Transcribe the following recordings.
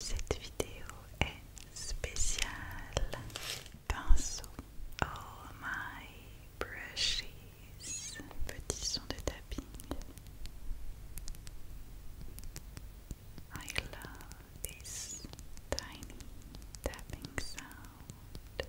Cette vidéo est spéciale pinceau. Oh my brushes. Petit son de tapping. I love this tiny tapping sound.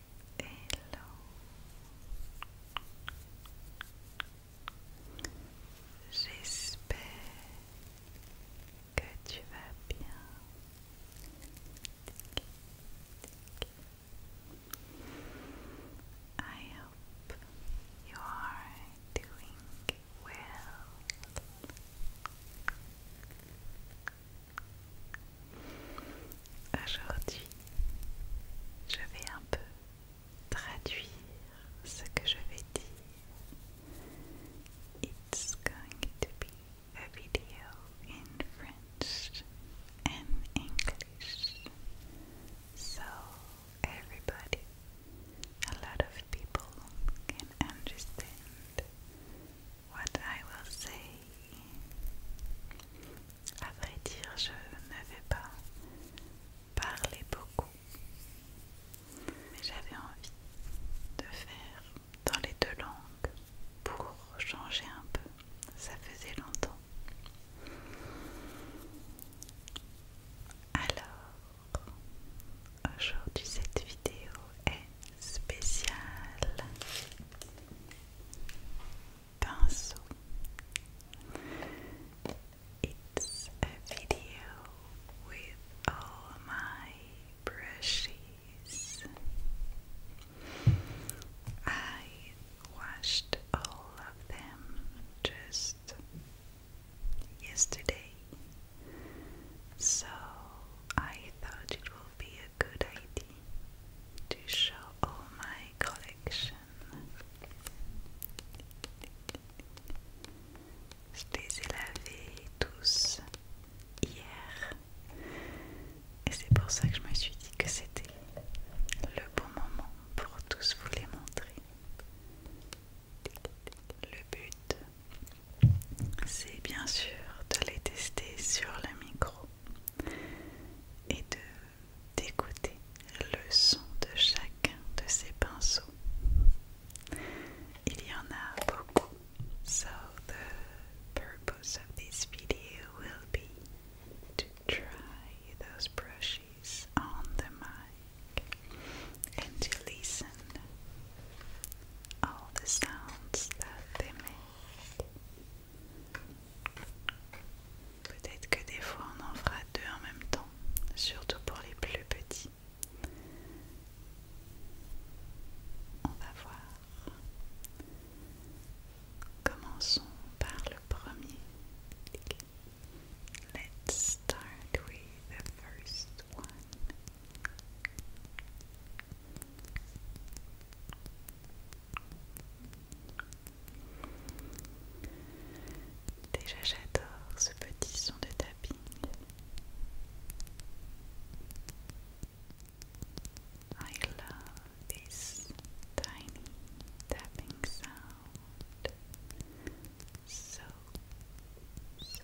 Hello. J'espère I hope you are doing well. Aujourd'hui, je vais un peu traduire ce que je vais dire. It's going to be a video in French and English. So everybody, a lot of people can understand what I will say. A vrai dire, je n'avais pas parlé beaucoup, mais j'avais envie de faire dans les deux langues pour changer un peu. Ça faisait longtemps. Alors, Aujourd'hui cette vidéo est spéciale Pinceau It's a video with all my brushes I washed all of them just yesterday So I thought it would be a good idea to show all my collection. Je les ai lavés tous hier et c'est pour ça que je me suis dit que c'était le bon moment pour tous vous les montrer. Le but c'est bien sûr de les tester sur le micro et de d'écouter le son de chacun de ces pinceaux. Il y en a beaucoup. So the purpose of this video will be to try those brushes on the mic and to listen all the sounds that they Peut-être que des fois on en fera deux en même temps, surtout pour les plus petits. On va voir. Commençons par le premier. Let's start with the first one. Déjà j'adore ce petit son de tapping. I love this tiny tapping sound. So, so,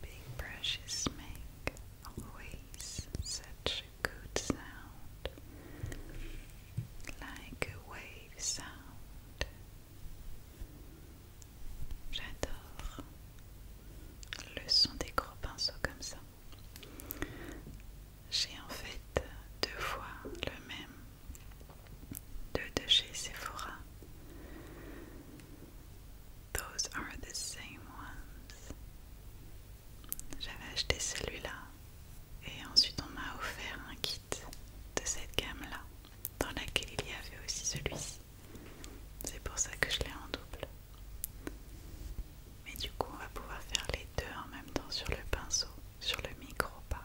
Big brushes make always such a good sound, like a wave sound. J'adore le son des gros pinceaux comme ça. J'ai en fait deux fois le même deux de chez Sephora. Those are the same ones. J'avais acheté celui-là et ensuite on m'a offert un kit de cette gamme-là dans laquelle il y avait aussi celui-ci. C'est pour ça que je l'ai en double. Mais du coup on va pouvoir faire les deux en même temps sur le pinceau sur le micro, pardon.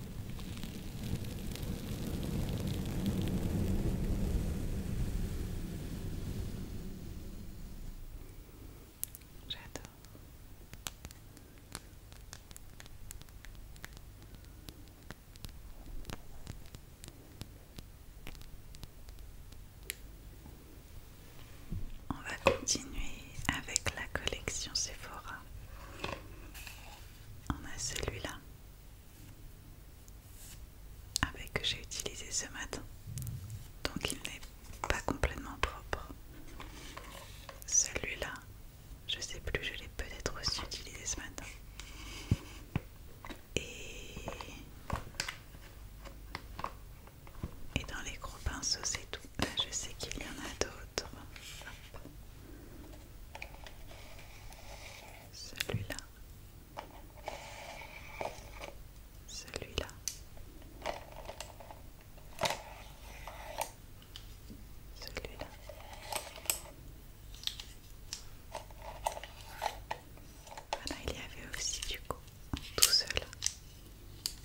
J'adore. On va continuer avec la collection Sephora. On a celui-là avec que j'ai utilisé ce matin. Donc il n'est pas complètement propre. Celui-là, je sais plus, je l'ai peut-être aussi utilisé ce matin. Et, et dans les gros pinceaux, c'est tout. Je sais qu'il y en a d'autres. Celui-là. Celui-là. Celui-là. Voilà, ah il y avait aussi du coup tout seul.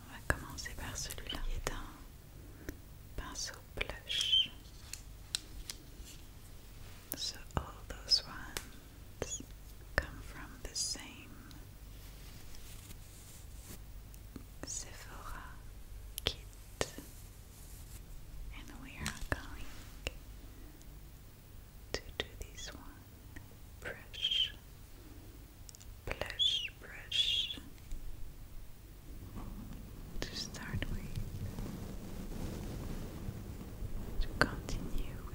On va commencer par celui-là Il est un pinceau blush. So all those ones come from the same Sephora kit. And we are going to do this one brush, blush, brush to start with, to continue with.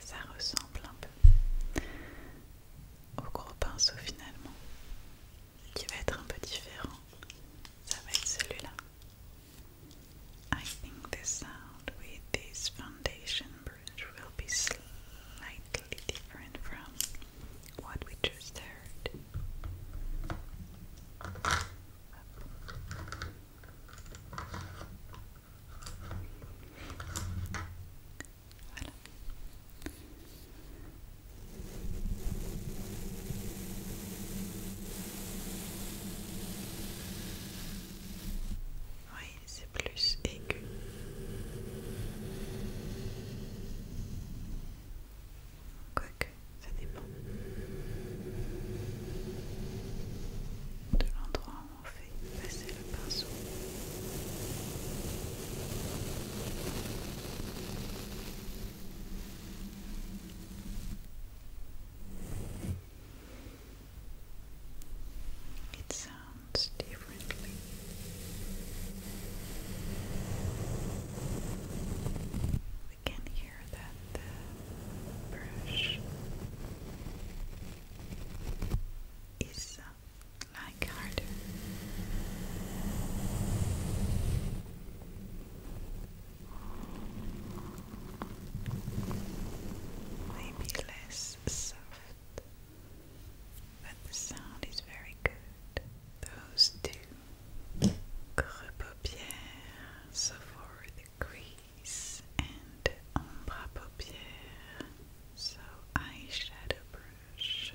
Ça ressemble un peu au gros pinceau finalement, qui va être un peu différent. Ça va être celui-là. I think the sound with this foundation brush will be slightly different from what we just heard. Voilà. Oui, c'est plus aigu. Quoique, ça dépend de l'endroit où on fait passer le pinceau. We can hear that the brush is uh, like harder. Maybe less soft but the sound is very good. Those two paupières, so for the crease and ombre paupière, so eyeshadow brush.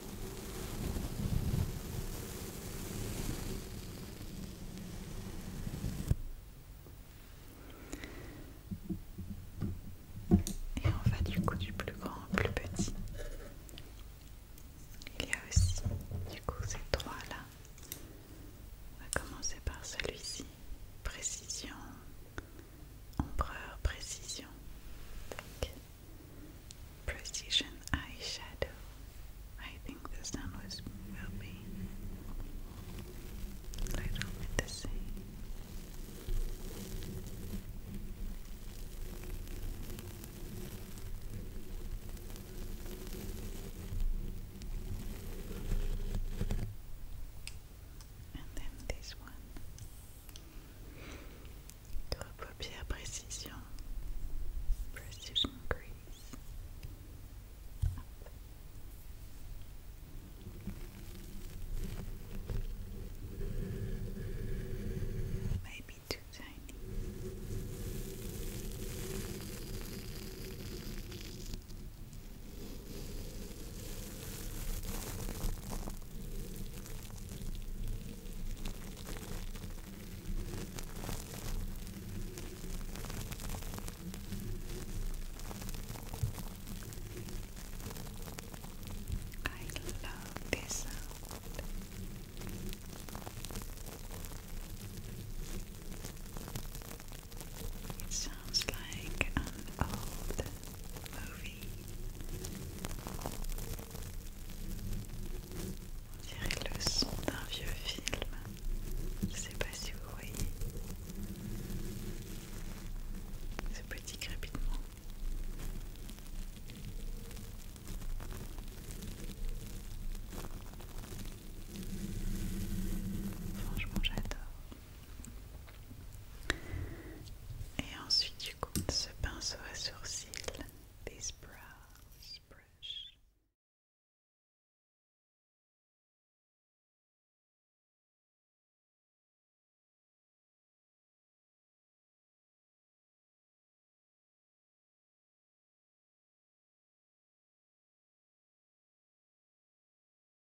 Et on va du coup du plus grand au plus petit. Il y a aussi du coup ces trois là. On va commencer par celui-ci. Précision, Ombreur Précision. Precision eyeshadow. I think this one will be a little bit the same. And then this one. Gros paupières précision. Maybe too tiny. I love this It sounds like an old movie On dirait le son d'un vieux film. Je sais pas si vous voyez C'est petit crépitement. Franchement, j'adore. Et ensuite, tu compte ce pinceau à sourcils, brush.